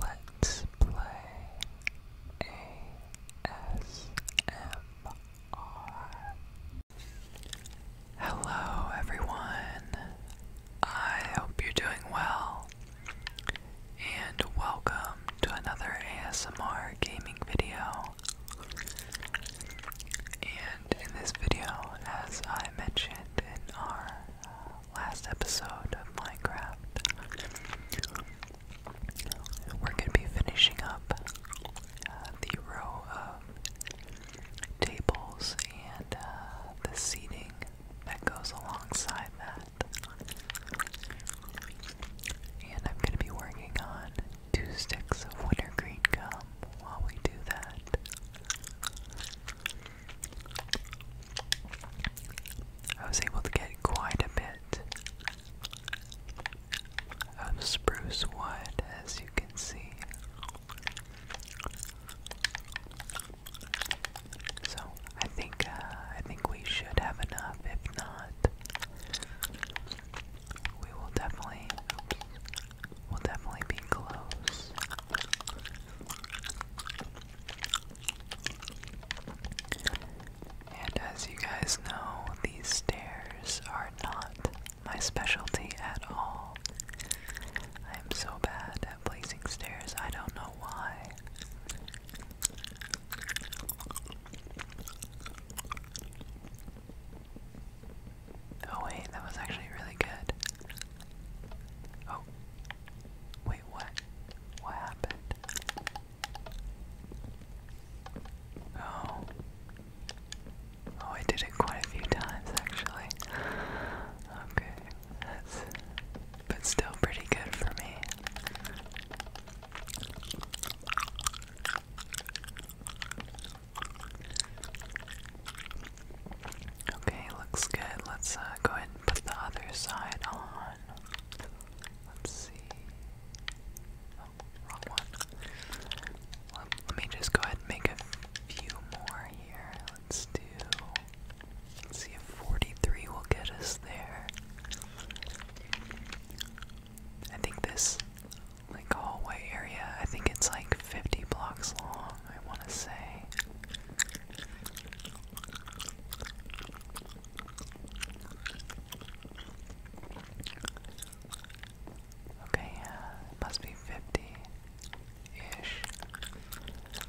Let's play ASMR. Hello, everyone. I hope you're doing well. And welcome to another ASMR gaming video. And in this video, as I mentioned in our last episode of Minecraft, we're going to be finishing up uh, the row of tables and uh, the seating that goes alongside that. And I'm going to be working on two sticks of wintergreen gum while we do that. I was able to get quite a bit of spruce wood, as you can see. So I think uh, I think we should have enough. If not, we will definitely we'll definitely be close. And as you guys know, these stairs are not my specialty at all. I'm so bad at placing stairs, I don't know why. Oh wait, that was actually really good. Oh, Wait, what? What happened? Oh. Oh, I did it quite a few times actually. Okay, that's. But still pretty good for me. Okay, looks good. Let's uh, go ahead put the other side on. Let's see. Oh, wrong one. Let, me just go ahead and make a few more here. Let's do. see if 43 will get us there. I think this, like, hallway area, I think it's like 50 blocks long, I want to say. Okay, uh, it must be fifty ish. Okay,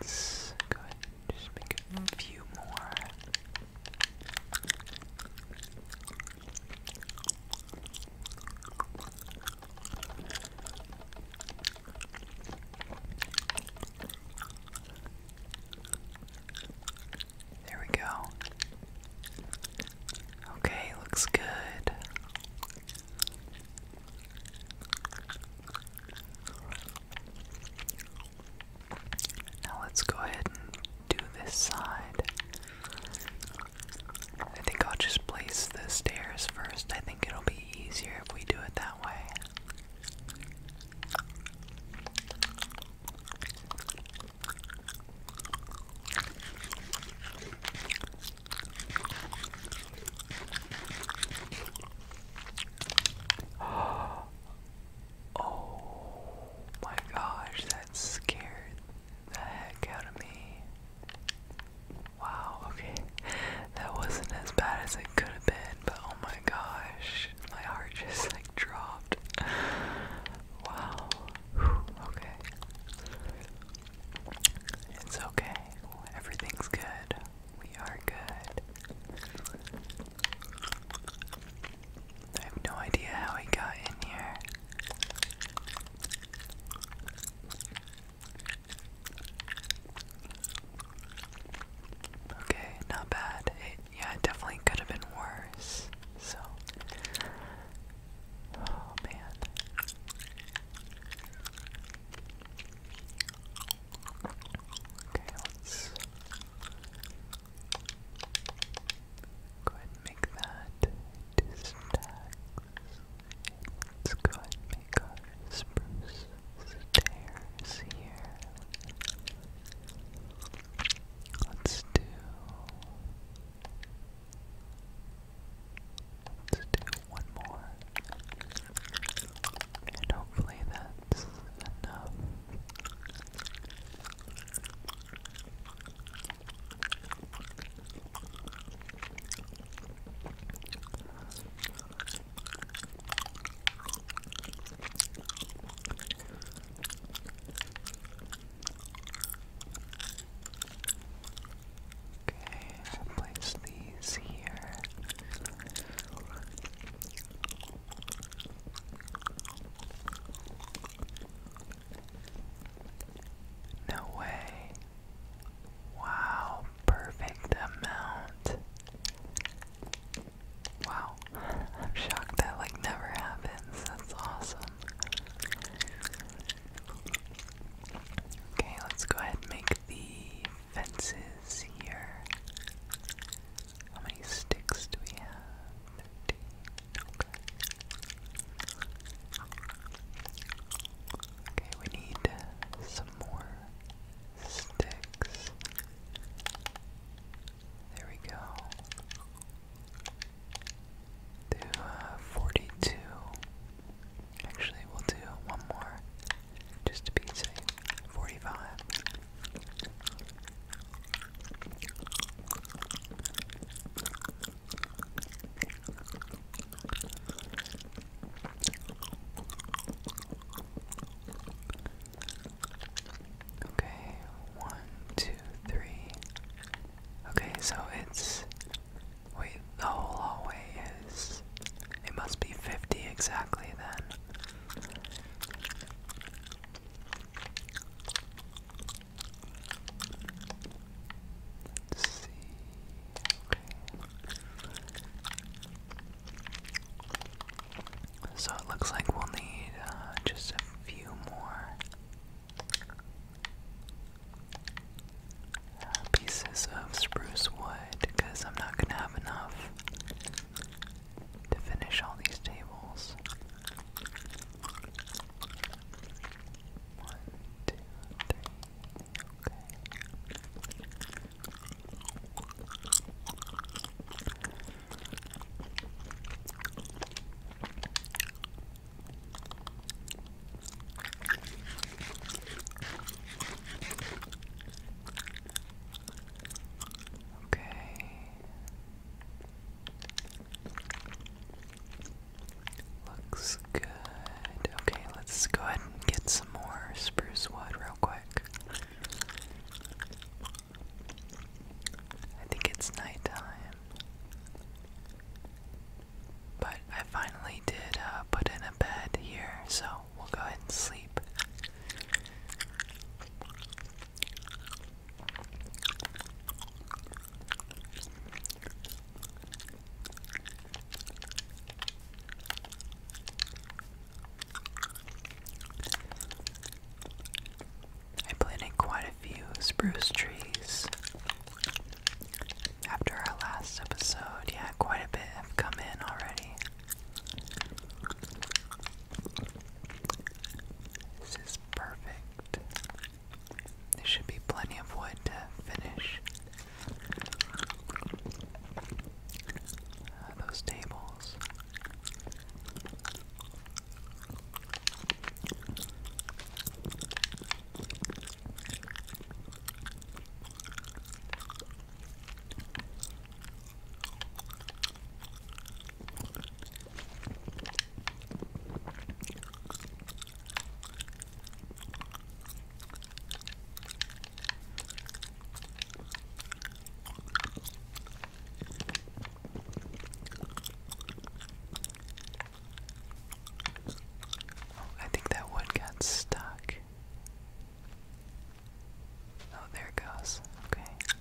let's go ahead just make a few more. There we go. Okay, looks good. Now let's go ahead and do this side. I think I'll just place the stairs first. I think it'll be easier if we do it that way. Oh my gosh, that scared the heck out of me. Wow, okay. That wasn't as bad as it could have been, but oh my gosh, my heart just like dropped. Wow. okay. It's okay. Everything's good. We are good. I have no idea how he got in here. Okay, not bad. yeah, it definitely could have been worse. So, oh man. Okay, let's Go ahead and make that into Let's go ahead and make our spruce stairs here. Let's do. Let's do one more. And hopefully that's enough. Okay, I'll place these here. No way. Wow, perfect amount. Wow, I'm shocked that like never happens. That's awesome. Okay, let's go ahead and make the fences here. How many sticks do we have? Thirteen. Okay. we need some more sticks. There we go. Do uh, 42. Actually, we'll do one more just to be safe. 45. Okay, one, two, three. Okay, so it's. Wait, the hallway is. It must be 50 exactly then. So it looks like we'll need uh, just a few more pieces of spruce wood because I'm not going to have enough to finish all these tables. One, two, three. Okay. Looks good. Okay, let's go ahead and get some more spruce wood real quick. I think it's nighttime. But I finally did uh, put in a bed here, so we'll go ahead and sleep. I planted quite a few spruce trees after our last episode. Yeah, quite a bit have come in already. This is perfect. There should be plenty of wood to finish uh, those tables. Oh, I think that wood got stuck. Oh, there it goes. Okay.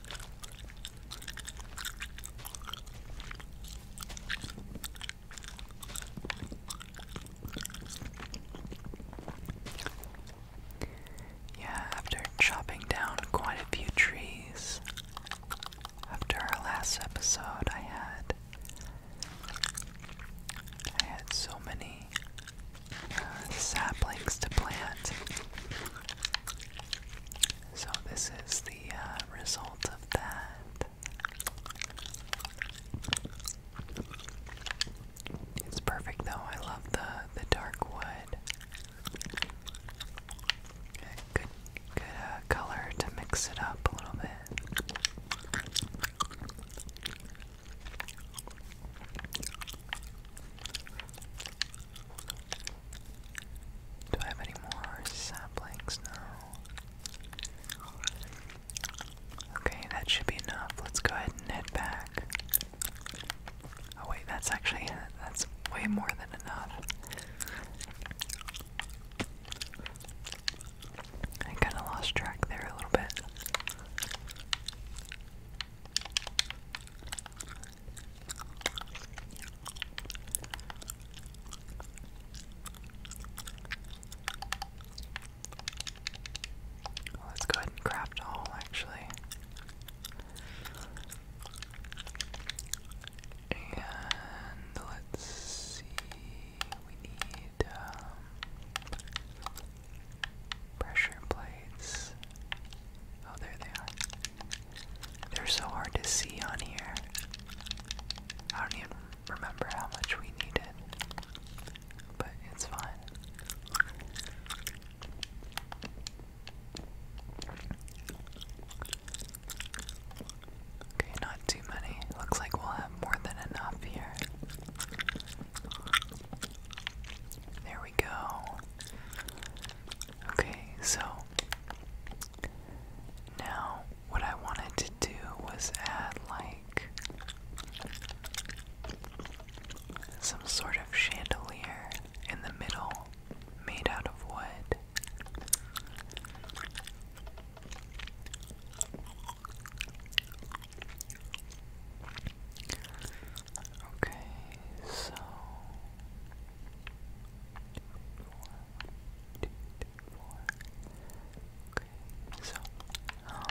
Yeah, after chopping down quite a few trees, after our last episode, I had I had so many uh, saplings to plant. So, this is the uh, result of that. It's perfect though. I love the the dark wood. Good, good uh, color to mix it up a little bit. Do I have any more saplings? No. Okay, that should be enough. Let's go ahead and head back. Oh wait, that's actually that's way more than enough. I kind of lost track there a little bit let's go ahead and craft a actually. And let's see, we need um, pressure plates. Oh, there they are. They're so hard to see on here. I don't even remember how much we needed, but it's fine. Okay, not too many. Looks like we'll have more than enough here. There we go. Okay, so now, what I wanted to do was add like some sort of chandelier in the middle made out of wood. Okay, so two, three, four. Okay, so, um,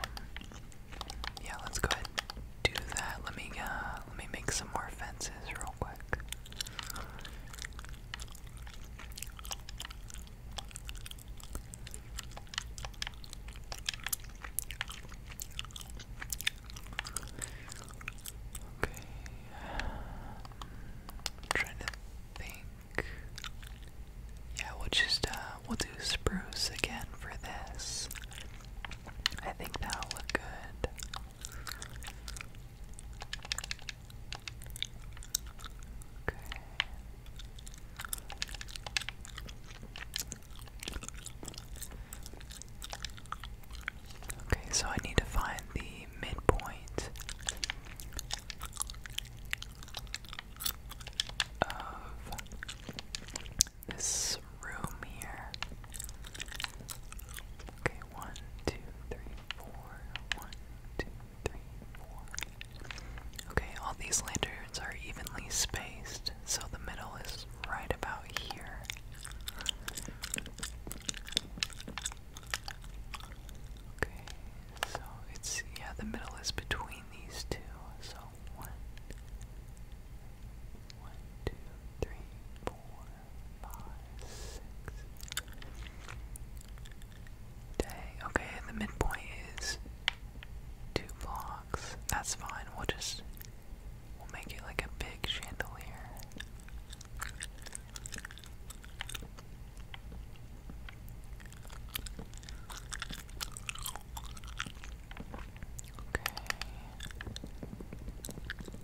yeah, let's go ahead do that. Let me, uh, let me make some more fences real quick. Okay, trying to think. Yeah, we'll just uh, we'll do spruce again for this. I think that'll look good. Okay. Okay, so I need to find the midpoint of this room here. Okay, one, two, three, four, one, two, three, four. Okay, all these lanterns are evenly spaced, so the middle is right about here. Okay, so it's, yeah, the middle is between these two. So one, one, two, three, four, five, six. Dang, okay, the midpoint is two blocks. That's fine, we'll just, we'll make it like a big chandelier.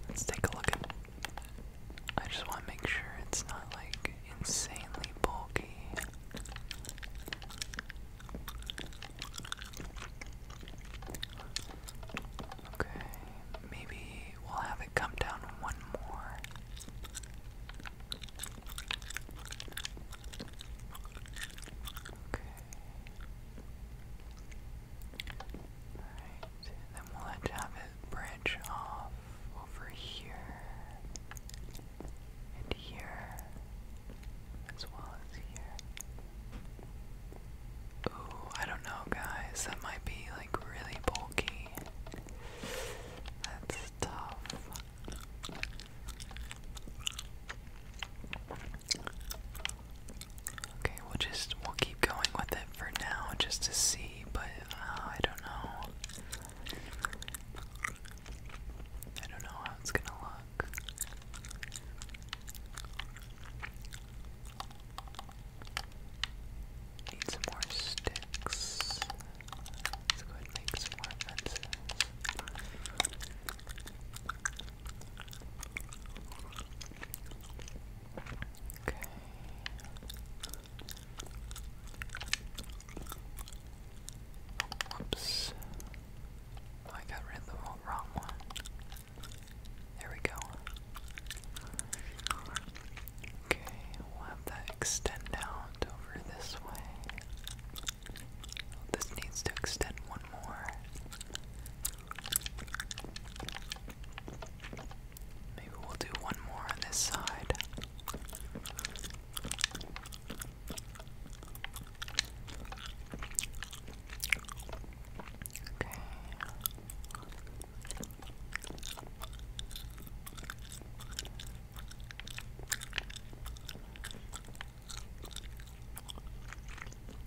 Let's take a look at it. I just want to make sure it's not like insanely bulky. Okay, maybe we'll have it come down one more. Okay. Alright, then we'll have it branch off over here and here as well as here. Ooh, I don't know guys, that might be like really bulky. That's tough. Okay, we'll just we'll keep going with it for now just to see, but uh, I don't know. I don't know how it's gonna look. Need some more sticks. Let's go ahead and make some more Okay. Whoops. Oh, I got rid of the wrong one. There we go. Okay, we'll have that extend out over this way. This needs to extend one more. Maybe we'll do one more on this side. Okay.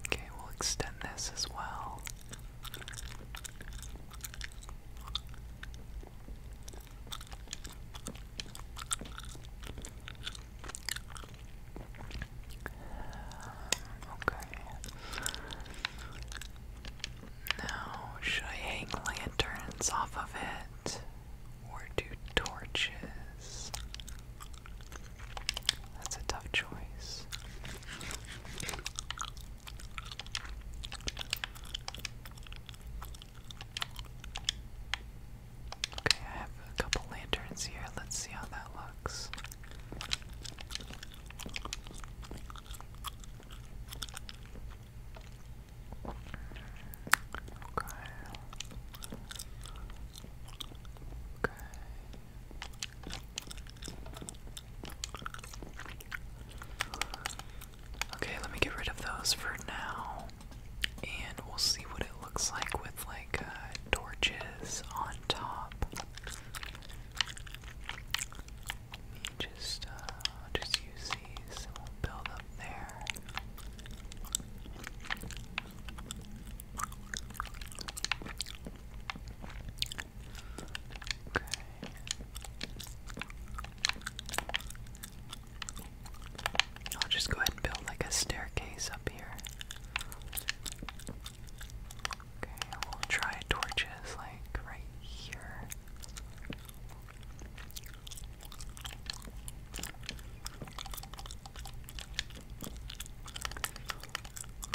Okay, we'll extend this as well. okay. Now, should I hang lanterns off of it? Or do torches? That's a tough choice. Okay, I have a couple lanterns here. Let's see how that looks. Okay. Okay. Okay, let me get rid of those for now. And we'll see what it looks like with like uh, torches on top just uh, just use these and we'll build up there. Okay. I'll just go ahead and build like a staircase up here. Okay, we'll try torches like right here.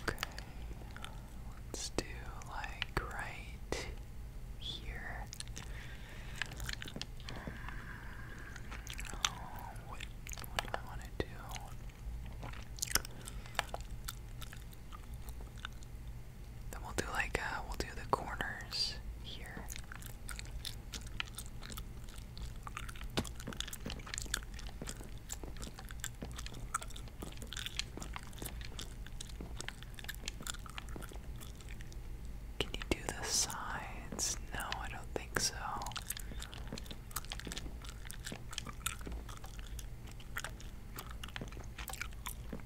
Okay, let's do like right here. Hmm, what do I want to do? Then we'll do like uh, we'll do the corners here. Can you do the sides? No, I don't think so.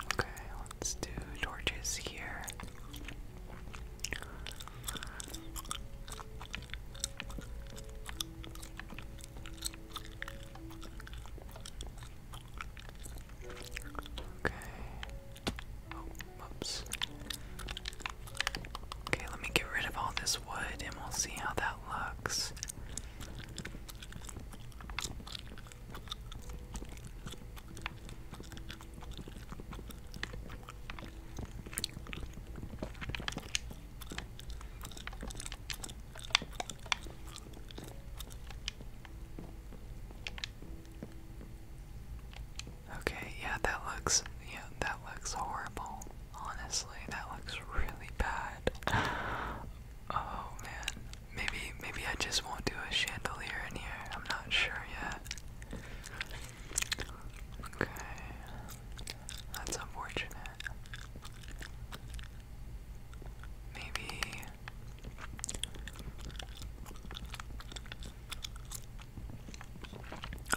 Okay, let's do torches here. Okay. Oh, Okay, let me get rid of all this wood and we'll see how that looks. Okay, yeah, that looks yeah, that looks horrible. Honestly, that looks really bad. Oh man, maybe maybe I just won't do a chandelier in here. I'm not sure yet. Okay, that's unfortunate. Maybe.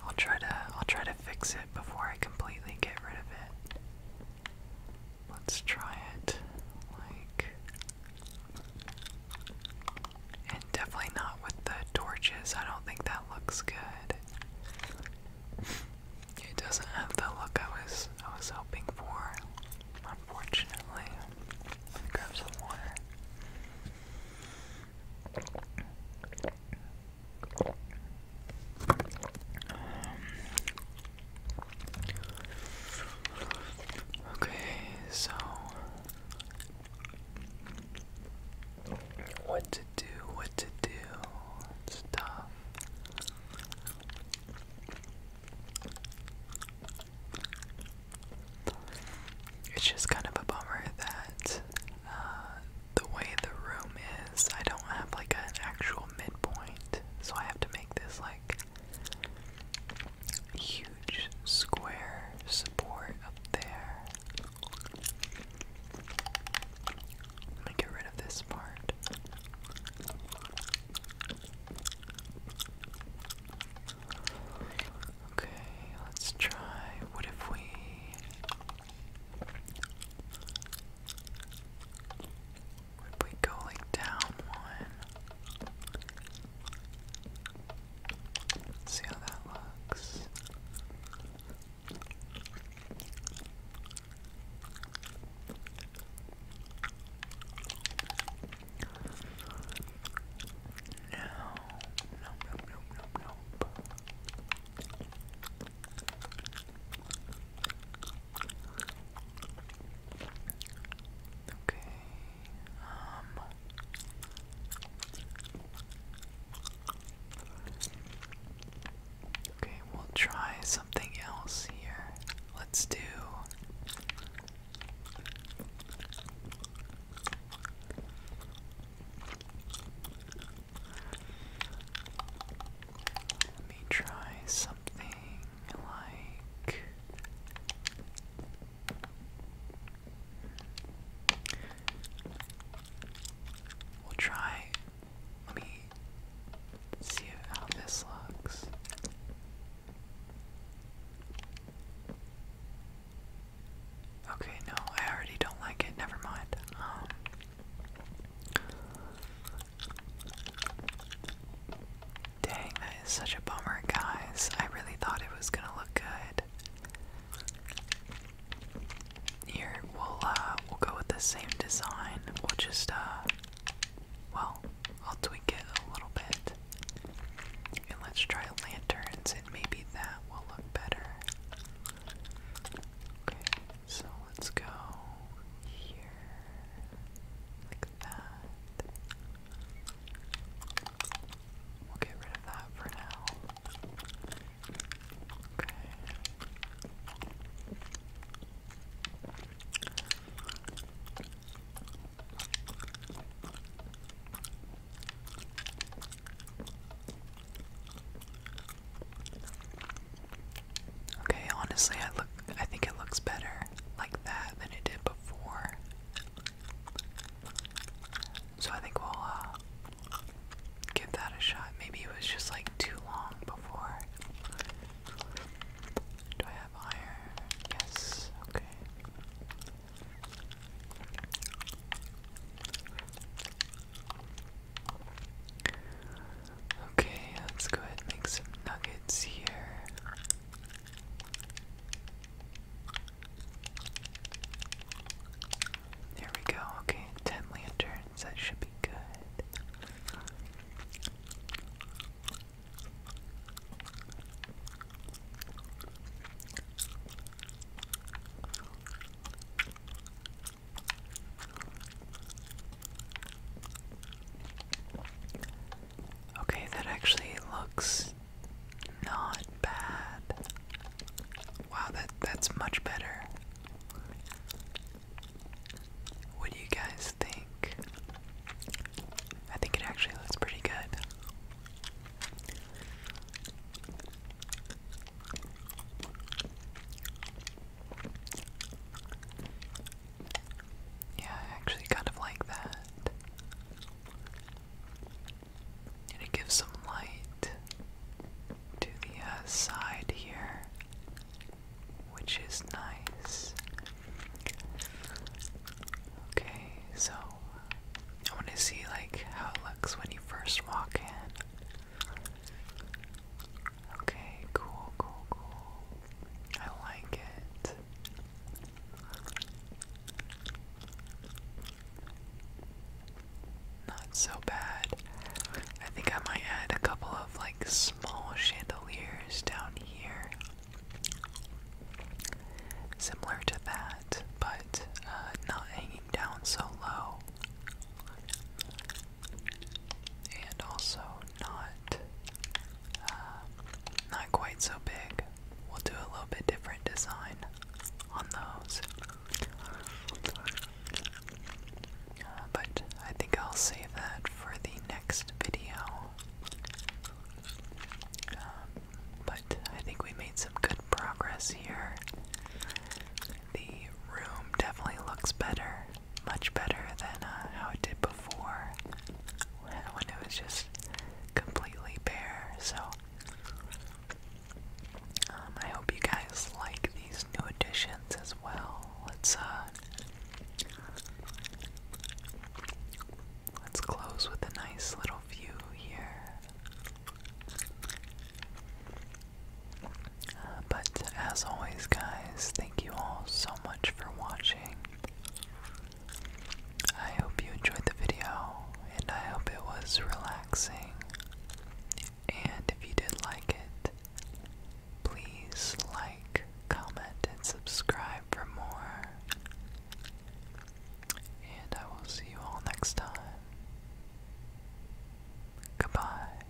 I'll try to I'll try to fix it before I completely get rid of it. Let's try it. Like. And definitely not with the torches. I don't think that looks good. It doesn't have the look I was I was hoping for, unfortunately. Let me grab some water. Um, Okay, so what to do, what to do, it's It's just kind of a bummer that uh, the way the room is, I don't have like an actual midpoint, so I have to make this like Huge square support up there. Let me get rid of this part. Okay, let's try. What if we. If we go like down one, Let's see how that looks. No, no, no, no, no, no. Okay. Okay, we'll try something else here. Let's do Let me try something like we'll try let me see how this looks. Okay, no, I already don't like it. Never mind. Um, Dang, that is such a bummer, guys. I really thought it was gonna look good. Here, we'll uh, we'll go with the same design. We'll just uh, well, I'll tweak it a little bit, and let's try lanterns, and maybe that will look better. so let's go here. Like that. We'll get rid of that for now. Okay. Okay, honestly, I look I think it looks better like that than it did before. So I think we'll uh, give that a shot. Maybe it was just like too long before. Do I have iron? Yes, okay. Okay, let's go ahead and make some nuggets here. There we go. Okay, 10 lanterns. That should be good. Okay, that actually looks not bad. Wow, that that's much better. What do you guys think? I think it actually looks pretty good. Yeah, I actually kind of like that. it gives some light to the uh, side here, which is nice. Okay, so I want to see like how it looks when you first walk in. Okay, cool, cool, cool. I like it. Not so bad. I think I might add a couple of like small chandeliers down here. Similar to that, but uh, not hanging down so low. And also not um, not quite so big. We'll do a little bit different design on those. Uh, but I think I'll save that for the next video. Um, but I think we made some good progress here. The room definitely looks better, much better than uh, how it did before when it was just completely bare. So, um, I hope you guys like these new additions as well. Let's uh, let's close with a nice little view here. Uh, but as always, guys, thank you all so much for watching. I hope you enjoyed the video, and I hope it was relaxing. And if you did like it, please like, comment, and subscribe for more. And I will see you all next time. Goodbye.